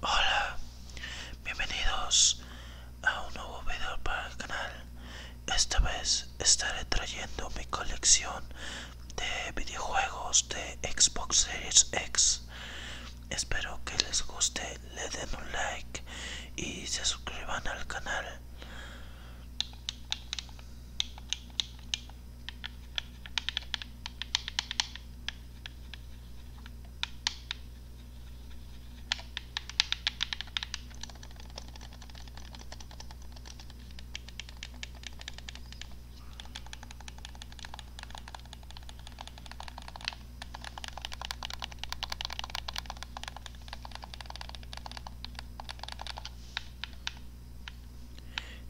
Hola, bienvenidos a un nuevo video para el canal. Esta vez estaré trayendo mi colección de videojuegos de Xbox Series X. Espero que les guste, le den un like y se suscriban al canal.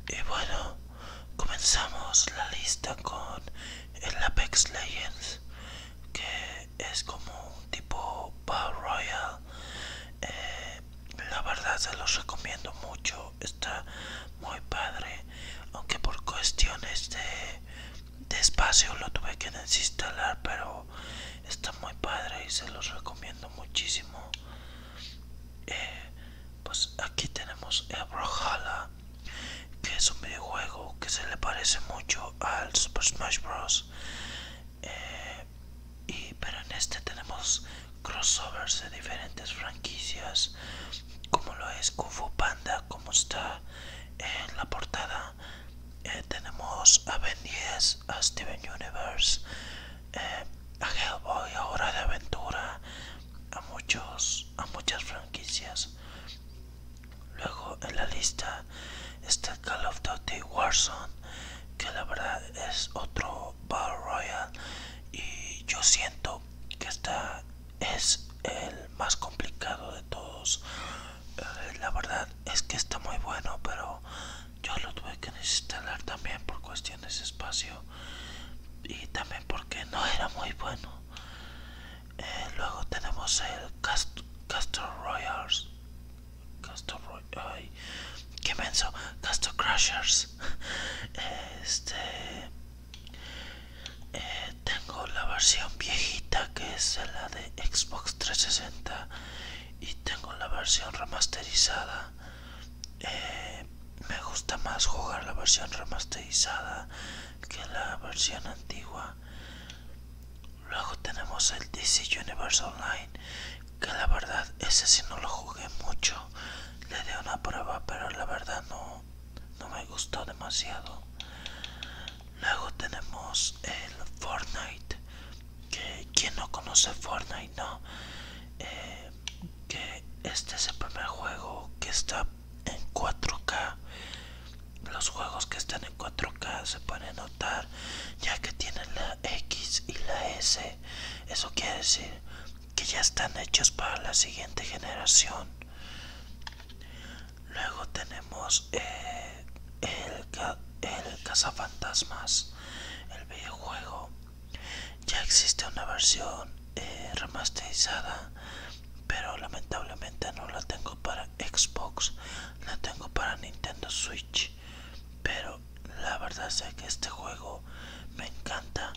Y bueno, comenzamos la lista con el Apex Legends, que es como un tipo Battle Royale. Eh, la verdad se los recomiendo mucho, está muy padre, aunque por cuestiones de, espacio lo tuve que desinstalar, pero está muy padre y se los recomiendo muchísimo. Eh, pues aquí tenemos el Brohalla que es un videojuego que se le parece mucho al Super Smash Bros. Eh, y, pero en este tenemos crossovers de diferentes franquicias, como lo es Kung Fu Panda, como está en la portada. Eh, tenemos a Ben 10, a Steven Universe, eh, a Hellboy, ahora de aventura, a muchos a muchas franquicias luego en la lista está Call of Duty Warzone que la verdad es otro Battle Royale y yo siento que esta es el más complicado de todos eh, la verdad es que está muy bueno pero yo lo tuve que desinstalar también por cuestiones de espacio y también porque no era muy bueno eh, luego tenemos el Cast Royals. Castor Roy qué menso. Castle Crushers. Este. Eh, tengo la versión viejita que es la de Xbox 360 y tengo la versión remasterizada eh, me gusta más jugar la versión remasterizada que la versión antigua. Luego tenemos el DC Universe Online, que la verdad ese si no lo jugué mucho. Le di una prueba, pero la verdad no, me gustó demasiado. Luego tenemos el Fortnite, que quien no conoce Fortnite, no. Eh, que este es el primer juego que está en 4K los juegos que están en 4K se pueden notar ya que tienen la X y la S eso quiere decir que ya están hechos para la siguiente generación luego tenemos eh, el, el cazafantasmas el videojuego ya existe una versión eh, remasterizada pero lamentablemente no la tengo para Xbox la tengo para Nintendo Switch pero la verdad sé que este juego me encanta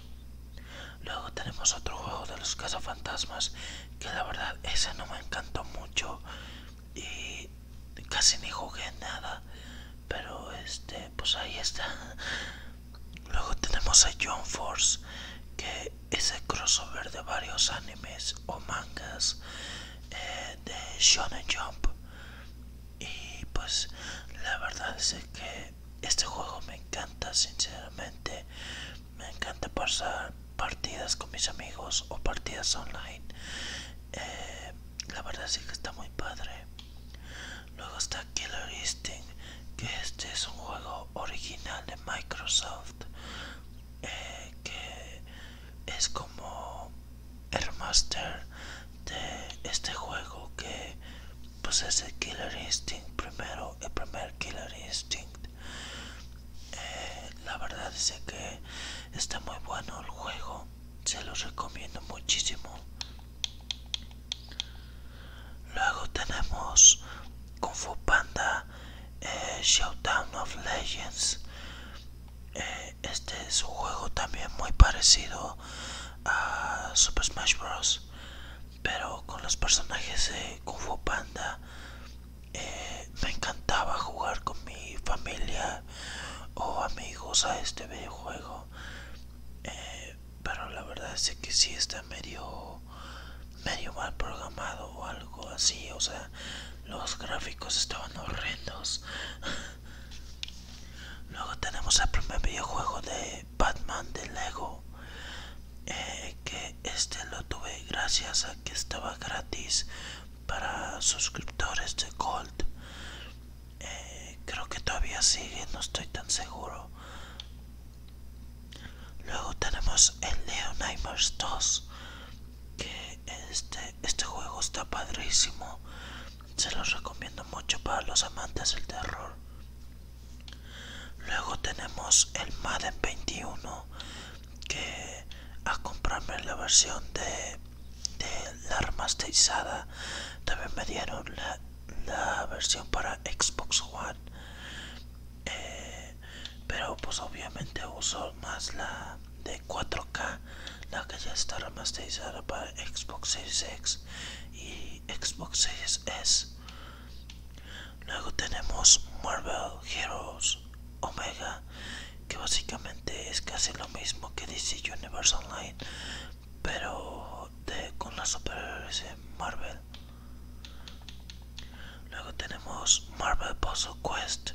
luego tenemos otro juego de los cazafantasmas que la verdad ese no me encantó mucho y casi ni jugué nada pero este pues ahí está Luego tenemos a John Force, que es el crossover de varios animes o mangas eh, de Shonen Jump. Y pues la verdad es que este juego me encanta, sinceramente. Me encanta pasar partidas con mis amigos o partidas online. Eh, la verdad sí que está muy padre. Luego está Killer Instinct, que este es un juego original de Microsoft, eh, que es como el master de este juego que pues es el Killer Instinct primero, el primer Killer Instinct. Eh, la verdad es que está muy bueno el juego, se lo recomiendo muchísimo. Luego tenemos Kung Fu Panda eh, Showdown of Legends. Eh, este es un juego también muy parecido a Super Smash Bros. Pero con los personajes de Kung Fu Panda eh, me encantaba jugar con mi familia o amigos a este videojuego pero la verdad es que sí está medio medio mal programado o algo así o sea los gráficos estaban horrendos luego tenemos el primer videojuego de batman de lego eh, que este lo tuve gracias a que estaba gratis para suscriptores de gold eh, creo que todavía sigue no estoy tan seguro Luego tenemos el Leonimers 2. Que este, este, juego está padrísimo. Se los recomiendo mucho para los amantes del terror. Luego tenemos el Madden 21. Que a comprarme la versión de, de la remasterizada también me dieron la, la versión para Xbox One eh, pero pues obviamente uso más la de 4K la que ya está remasterizada para Xbox Series X y Xbox Series S luego tenemos Marvel Heroes Omega que básicamente es casi lo mismo que DC Universe Online pero con las superhéroes de Marvel. Luego tenemos Marvel Puzzle Quest,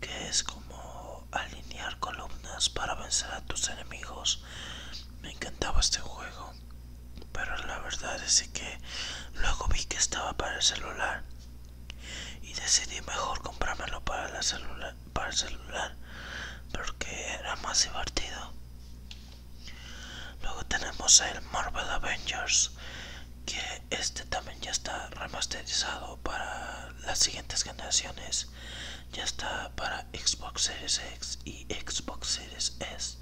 que es como alinear columnas para vencer a tus enemigos. Me encantaba este juego, pero la verdad es que luego vi que estaba para el celular y decidí mejor comprármelo para, la celular para el celular porque era más divertido. Luego tenemos el Marvel Avengers, que este también ya está remasterizado para las siguientes generaciones. Ya está para Xbox Series X y Xbox Series S.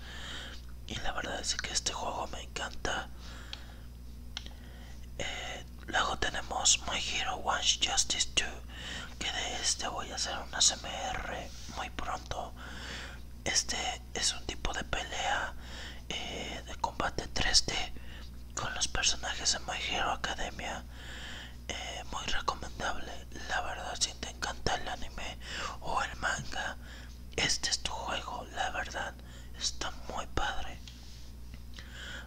Y la verdad es que este juego me encanta. Eh, luego tenemos My Hero One Justice 2, que de este voy a hacer una CMR muy pronto este es un tipo de pelea eh, de combate 3D con los personajes de My Hero Academia. Eh, muy recomendable. La verdad, si te encanta el anime o el manga, este es tu juego. La verdad, está muy padre.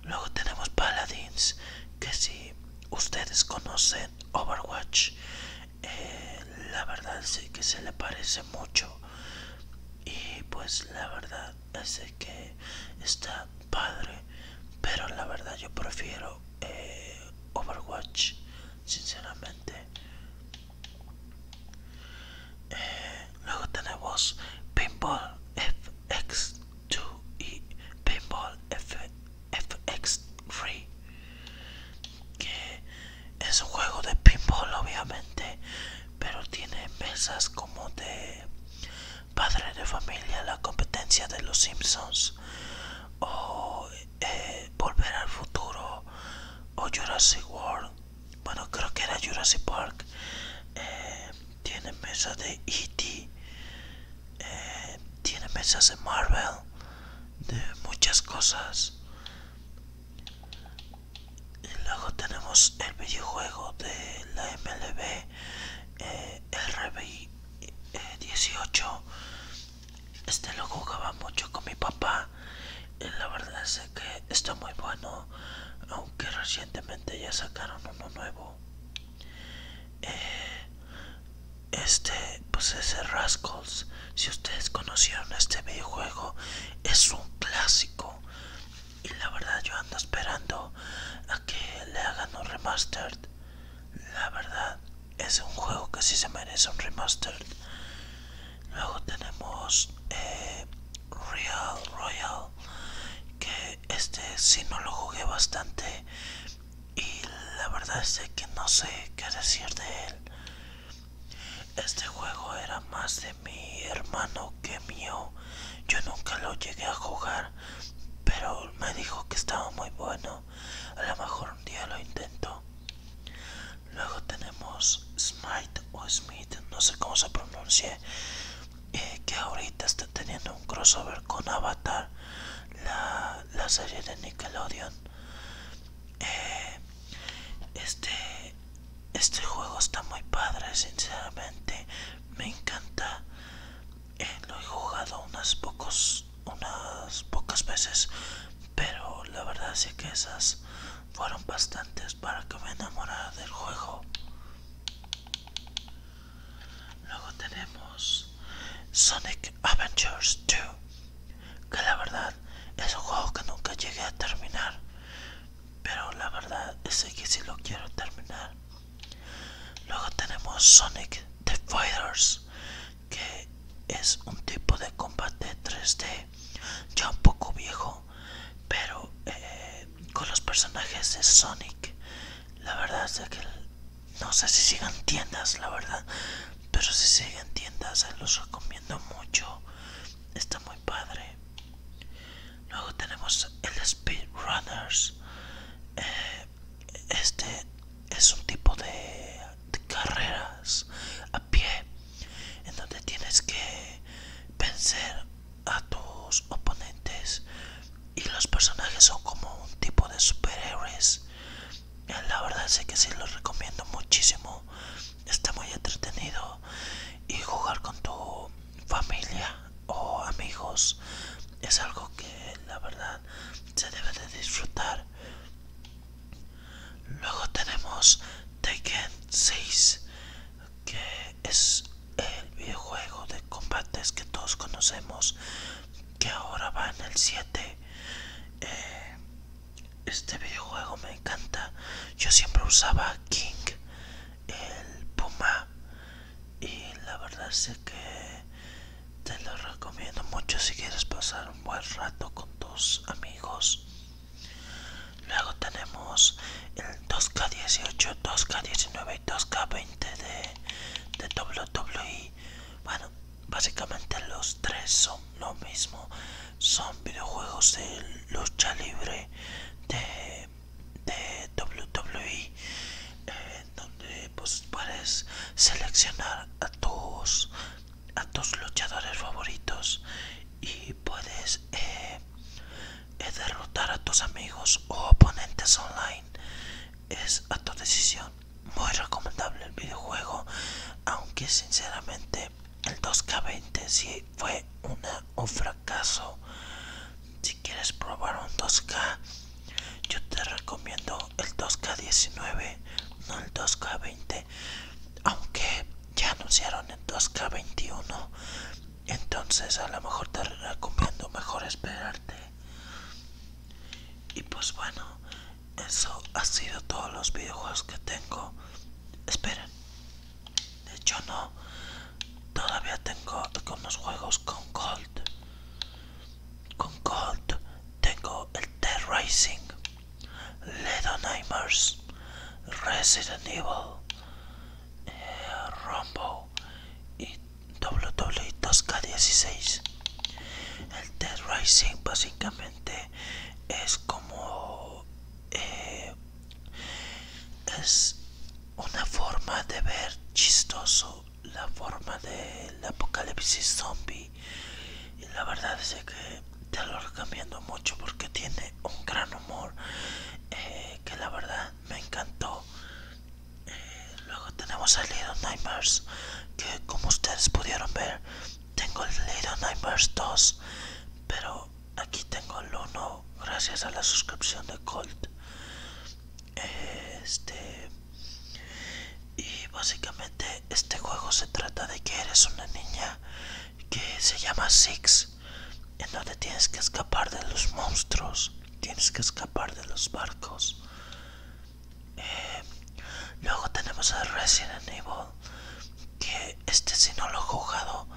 Luego tenemos Paladins, que si ustedes conocen Overwatch, la verdad sé que se le parece mucho y pues la verdad sé que está padre pero la verdad yo prefiero eh, Overwatch sinceramente eh, luego tenemos Pinball FX2 y Pinball FX FX Free que es un juego de pinball obviamente pero tiene mesas como de padre de familia la competencia de los simpsons o eh, volver al futuro o Jurassic World bueno creo que era Jurassic Park eh, tiene mesas de E.T. Eh, tiene mesas de Marvel de muchas cosas y luego tenemos el videojuego de la MLB eh, el RBI eh, 18 este lo jugaba mucho con mi papá y la verdad es que está muy bueno aunque recientemente ya sacaron uno nuevo eh, este pues ese Rascals si ustedes conocieron este videojuego es un clásico y la verdad yo ando esperando a que le hagan un remastered la verdad es un juego que sí se merece un remastered luego tenemos eh, Real Royal que este si no lo jugué bastante y la verdad es que no sé qué decir de él. Este juego era más de mi hermano que mío. Yo nunca lo llegué a jugar, pero me dijo que estaba muy bueno. A lo mejor un día lo intento. Luego tenemos Smite o Smith, no sé cómo se pronuncie, eh, que ahorita está teniendo un crossover con Avatar, la serie de Nickelodeon. Eh, este, este juego está muy padre sinceramente me encanta eh, lo he jugado unas pocos unas pocas veces pero la verdad sí que esas fueron bastantes para que me enamorara del juego luego tenemos Sonic Adventures 2 que la verdad es un juego que nunca llegué a terminar pero la verdad es que si lo quiero terminar luego tenemos Sonic the Fighters que es un tipo de combate 3D ya un poco viejo pero eh, con los personajes de Sonic la verdad es que no sé si sigan tiendas la verdad pero si siguen tiendas los recomiendo mucho está muy padre luego tenemos el speedrunners eh, este es un tipo de, de carreras a pie en donde tienes que vencer a tus oponentes y los personajes son como un tipo de superhéroes la verdad sé que sí lo recomiendo muchísimo está muy entretenido y jugar con tu familia o amigos es algo que la verdad se debe de disfrutar luego tenemos Tekken 6 que es el videojuego de combates que todos conocemos que ahora va en el 7. Eh, este videojuego me encanta. Yo siempre usaba King, el Puma. Y la verdad es que te lo recomiendo mucho si quieres pasar un buen rato con tus amigos. Luego tenemos el 2K18, 2K19 y 2K20 de, de WWE. Bueno, básicamente los tres son lo mismo son videojuegos de lucha libre de, WWE e, eh, donde pues, puedes seleccionar a tus a tus luchadores favoritos y puedes eh, eh, derrotar a tus amigos o oponentes online es a tu decisión muy recomendable el videojuego aunque sinceramente el 2k20 si sí fue una, un fracaso si quieres probar un 2k yo te recomiendo el 2k19 no el 2k20 aunque ya anunciaron el 2k21 entonces a lo mejor te recomiendo mejor esperarte y pues bueno eso ha sido todos los videojuegos que tengo. Esperen. De hecho no. Todavía tengo algunos juegos con Gold. Con Gold tengo el T-Racing, Ledo Nightmares, Resident Evil, eh, y WWE 2K16. El Dead Rising básicamente es como eh, es una forma de ver chistoso la forma del apocalipsis zombie y la verdad es que te lo recomiendo mucho porque tiene un gran humor eh, que la verdad me encantó eh, Luego tenemos el Little Nightmares, que como ustedes pudieron ver, tengo el Little Nightmares 2, pero aquí tengo el 1 gracias a la suscripción de Colt. Este. Y básicamente este juego se trata de que eres una niña que se llama Six, en donde tienes que escapar de los monstruos, tienes que escapar de los barcos eh, luego tenemos a Resident Evil, que este sí no lo he jugado,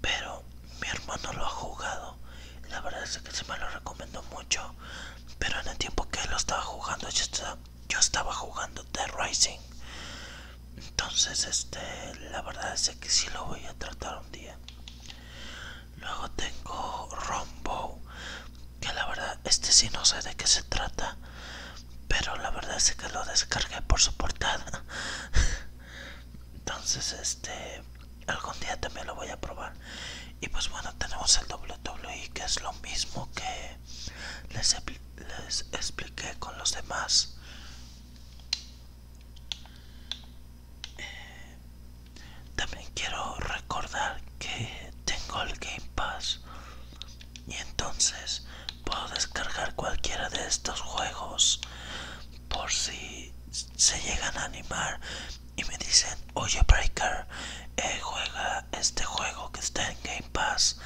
pero mi hermano lo ha jugado. La verdad es que se me lo recomiendo mucho, pero en el tiempo que lo estaba jugando yo estaba, jugando The Rising. Entonces, este, la verdad es que sí lo voy a tratar un día. Luego tengo Rombo, que la verdad este sí no sé de qué se trata pero la verdad es que lo descargué por su portada entonces este algún día también lo voy a probar y pues bueno tenemos el WWE que es lo mismo que les, expliqué con los demás eh, también quiero recordar que tengo el Game Pass y entonces puedo descargar cualquiera de estos juegos por si se llegan a animar y me dicen oye Breaker eh, juega este juego que está en Game Pass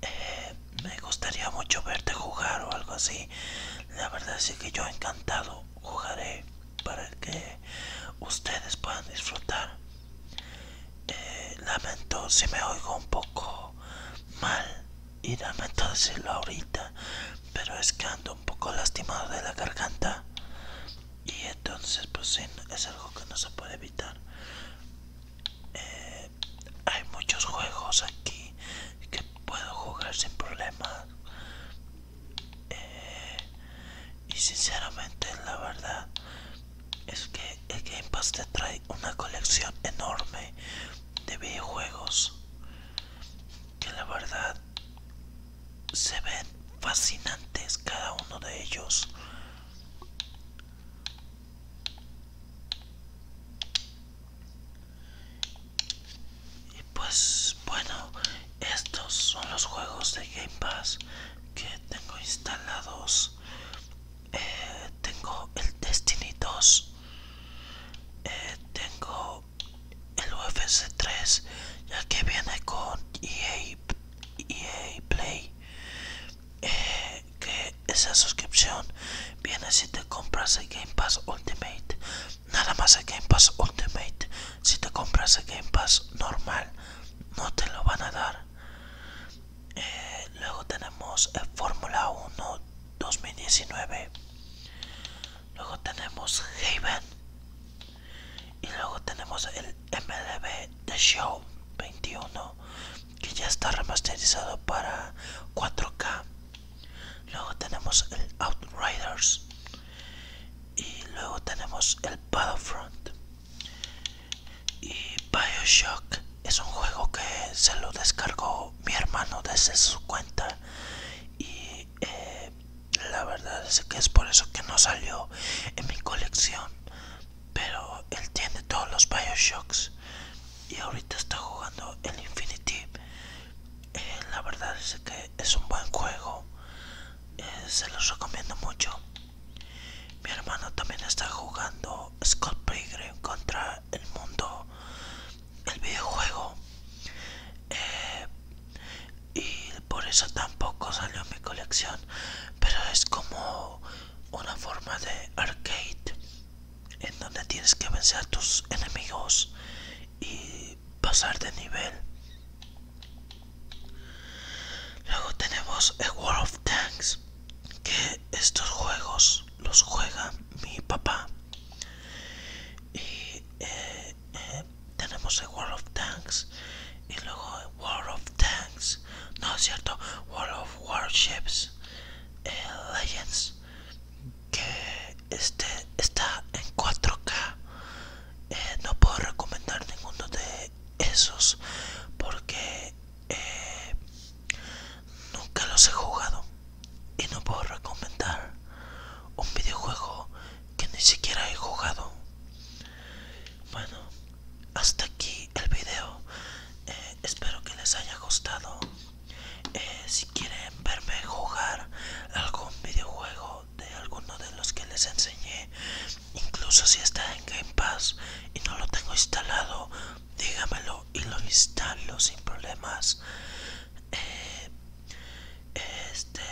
eh, me gustaría mucho verte jugar o algo así la verdad es que yo encantado jugaré para que ustedes puedan disfrutar eh, lamento si me oigo un poco mal y lamento decirlo ahorita, pero es que ando un poco lastimado de la garganta y entonces pues sí, es algo que no se puede evitar. Eh, hay muchos juegos aquí que puedo jugar sin problema. Eh, y sinceramente la verdad es que el Game Pass te trae una colección enorme de videojuegos que la verdad se ven fascinantes cada uno de ellos y pues bueno estos son los juegos de Game Pass que tengo instalados eh, tengo el Destiny 2 eh, tengo el UFC 3 ya que viene con EA, EA Play eh, que esa suscripción viene si te compras el Game Pass Ultimate nada más el Game Pass Ultimate si te compras el Game Pass normal no te lo van a dar. Eh, luego tenemos eh, Fórmula 1 2019. Luego tenemos Haven. Y luego tenemos el MLB The Show 21 que ya está remasterizado para 4K. Luego tenemos el Outriders. Y luego tenemos el front y Bioshock es un juego que se lo descargó mi hermano desde su cuenta. Y eh, la verdad es que es por eso que no salió en mi colección. Pero él tiene todos los Bioshocks. Y ahorita está jugando el Infinity. Eh, la verdad es que es un buen juego. Eh, se los recomiendo mucho. Mi hermano también está jugando Scott Pilgrim contra el mundo, el videojuego. Eh, y por eso tampoco salió en mi colección. Pero es como una forma de arcade en donde tienes que vencer a tus enemigos y pasar de nivel. Luego tenemos el World of Tanks, que estos juegos los juega mi papá. Y eh, eh, tenemos el World of Tanks y luego el World of Tanks, no es cierto, World of Warships eh, Legends, que este está en 4K. no puedo recomendar ninguno de esos porque eh, nunca los he jugado y no puedo recomendar un videojuego que ni siquiera he jugado bueno hasta aquí el video eh, espero que les haya gustado eh, si quieren verme jugar algún videojuego de alguno de los que les enseñé incluso si está en Game Pass y no lo tengo instalado dígamelo y lo instalo sin problemas eh, este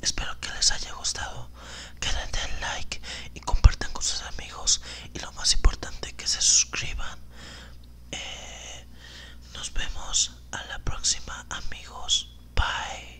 espero que les haya gustado que den like y compartan con sus amigos y lo más importante que se suscriban eh, nos vemos a la próxima amigos bye